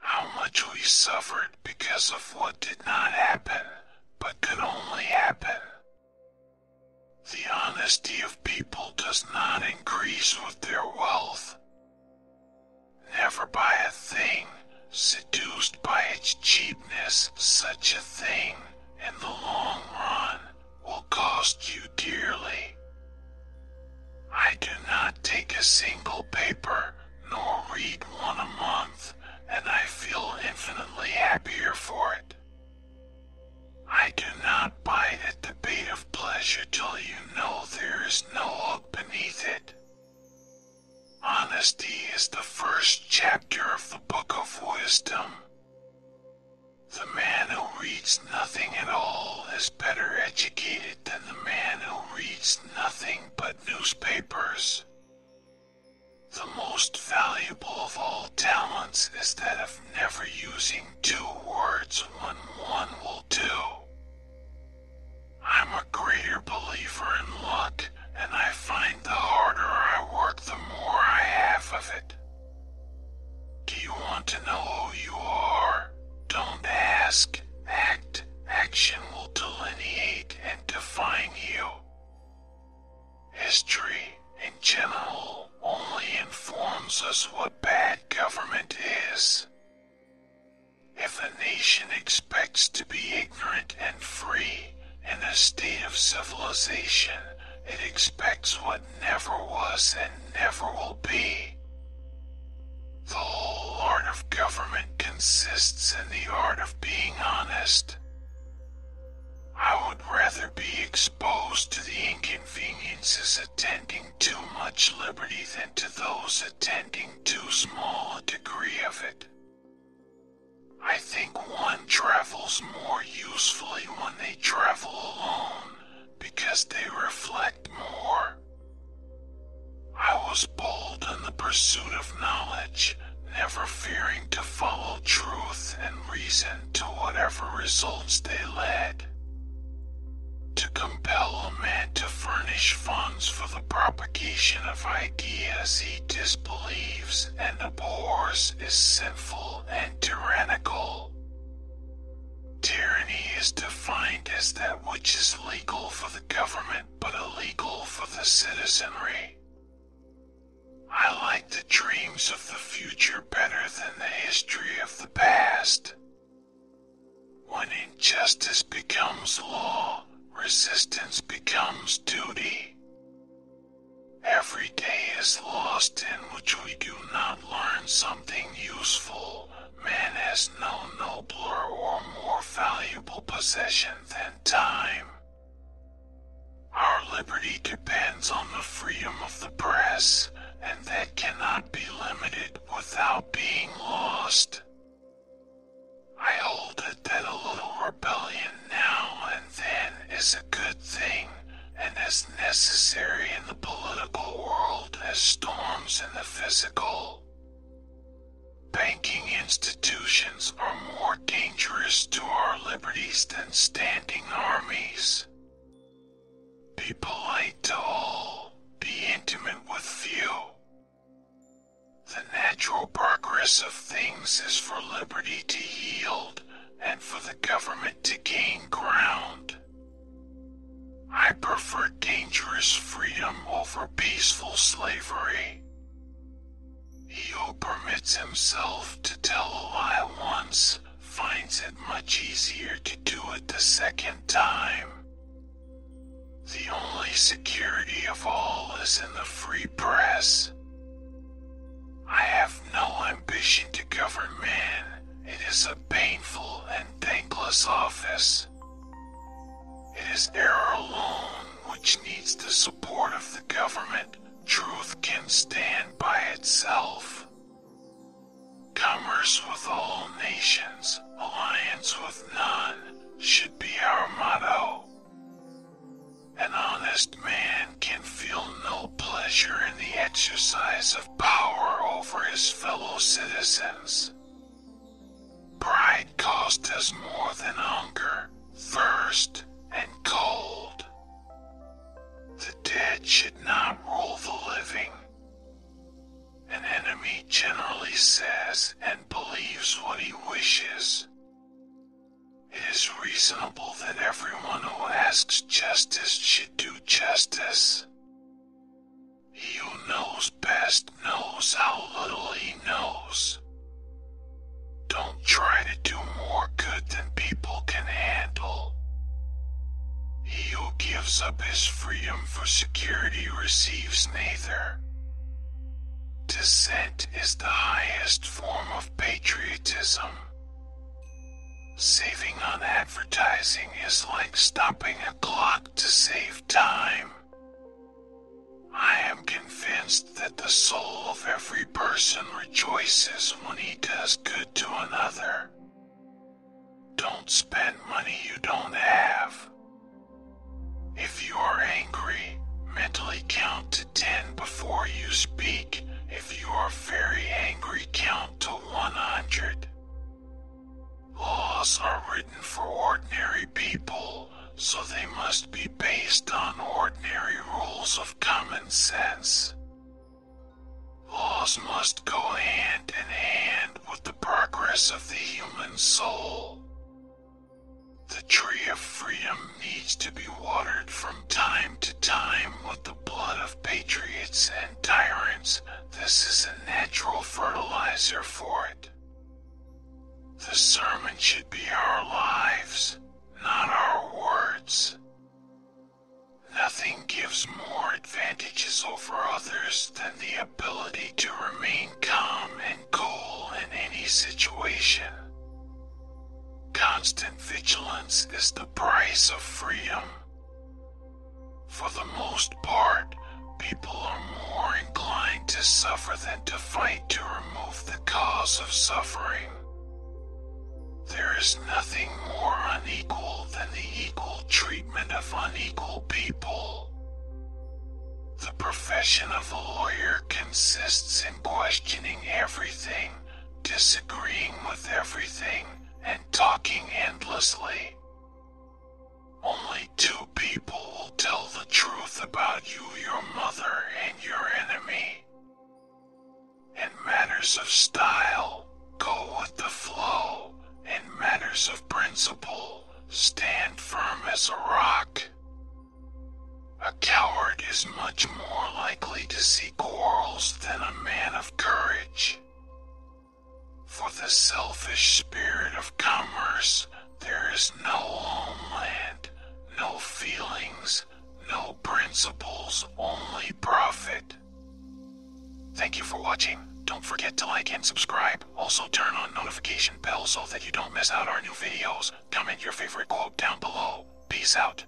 How much we suffered because of what did not happen, but could only happen. The honesty of people does not increase with their wealth. Never buy a thing, seduced by its cheapness, such a thing, in the long run, will cost you dearly. I do not take a single paper nor read one a month, and I feel infinitely happier for it. I do not at the bait of pleasure till you know there is no hope beneath it. Honesty is the first chapter of the Book of Wisdom. The man who reads nothing at all is better educated than the man who reads nothing but newspapers. The most valuable of all talents is that of never using two words when one will do. I'm a greater believer in luck, and I find the harder I work, the more I have of it. Do you want to know who you are? Don't ask, act action will delineate and define you. History, in general, only informs us what bad government is. If a nation expects to be ignorant and free in a state of civilization, it expects what never was and never will be. The whole art of government consists in the art of being honest. I would rather be exposed to the inconveniences attending too much liberty than to those attending too small a degree of it. I think one travels more usefully when they travel alone because they reflect more. I was bold in the pursuit of knowledge, never fearing to follow truth and reason to whatever results they led. To compel a man to furnish funds for the propagation of ideas he disbelieves and abhors is sinful and tyrannical. Tyranny is defined as that which is legal for the government but illegal for the citizenry. I like the dreams of the future better than the history of the past. When injustice becomes law, resistance becomes duty. Every day is lost in which we do not learn something useful Man has no nobler or more valuable possession than time. Our liberty depends on the freedom of the press, and that cannot be limited without being lost. I hold that a little rebellion now and then is a good thing and is necessary in the political world as storms in the physical. Banking institutions are more dangerous to our liberties than standing armies. Be polite to all, be intimate with few. The natural progress of things is for liberty to yield and for the government to gain ground. I prefer dangerous freedom over peaceful slavery. He who permits himself to tell a lie once finds it much easier to do it the second time. The only security of all is in the free press. I have no ambition to govern men. It is a painful and thankless office. It is error alone which needs the support of the government. Truth can stand by itself. Commerce with all nations, alliance with none, should be our motto. An honest man can feel no pleasure in the exercise of power over his fellow citizens. Pride costs us more than hunger, thirst, and cold. The dead should not rule the living. An enemy generally says and believes what he wishes. It is reasonable that everyone who asks justice should do justice. He who knows best knows how little he knows. Don't try to do more good than people can handle. He who gives up his freedom for security receives neither. Dissent is the highest form of patriotism. Saving on advertising is like stopping a clock to save time. I am convinced that the soul of every person rejoices when he does good to another. Don't spend money you don't have. If you are angry, mentally count to 10 before you speak. If you are very angry, count to 100. Laws are written for ordinary people, so they must be based on ordinary rules of common sense. Laws must go hand in hand with the progress of the human soul. The tree of freedom needs to be watered from time to time with the blood of patriots tyrants, this is a natural fertilizer for it. The sermon should be our lives, not our words. Nothing gives more advantages over others than the ability to remain calm and cool in any situation. Constant vigilance is the price of freedom. For the most part, people are more inclined to suffer than to fight to remove the cause of suffering. There is nothing more unequal than the equal treatment of unequal people. The profession of a lawyer consists in questioning everything, disagreeing with everything, and talking endlessly. Only two people will tell the truth about you, your mother, and your enemy. In matters of style, go with the flow. In matters of principle, stand firm as a rock. A coward is much more likely to see quarrels than a man of courage. For the selfish spirit of commerce, there is no homeland, no feelings, no principles, only profit. Thank you for watching. Don't forget to like and subscribe. Also turn on notification bell so that you don't miss out our new videos. Comment your favorite quote down below. Peace out.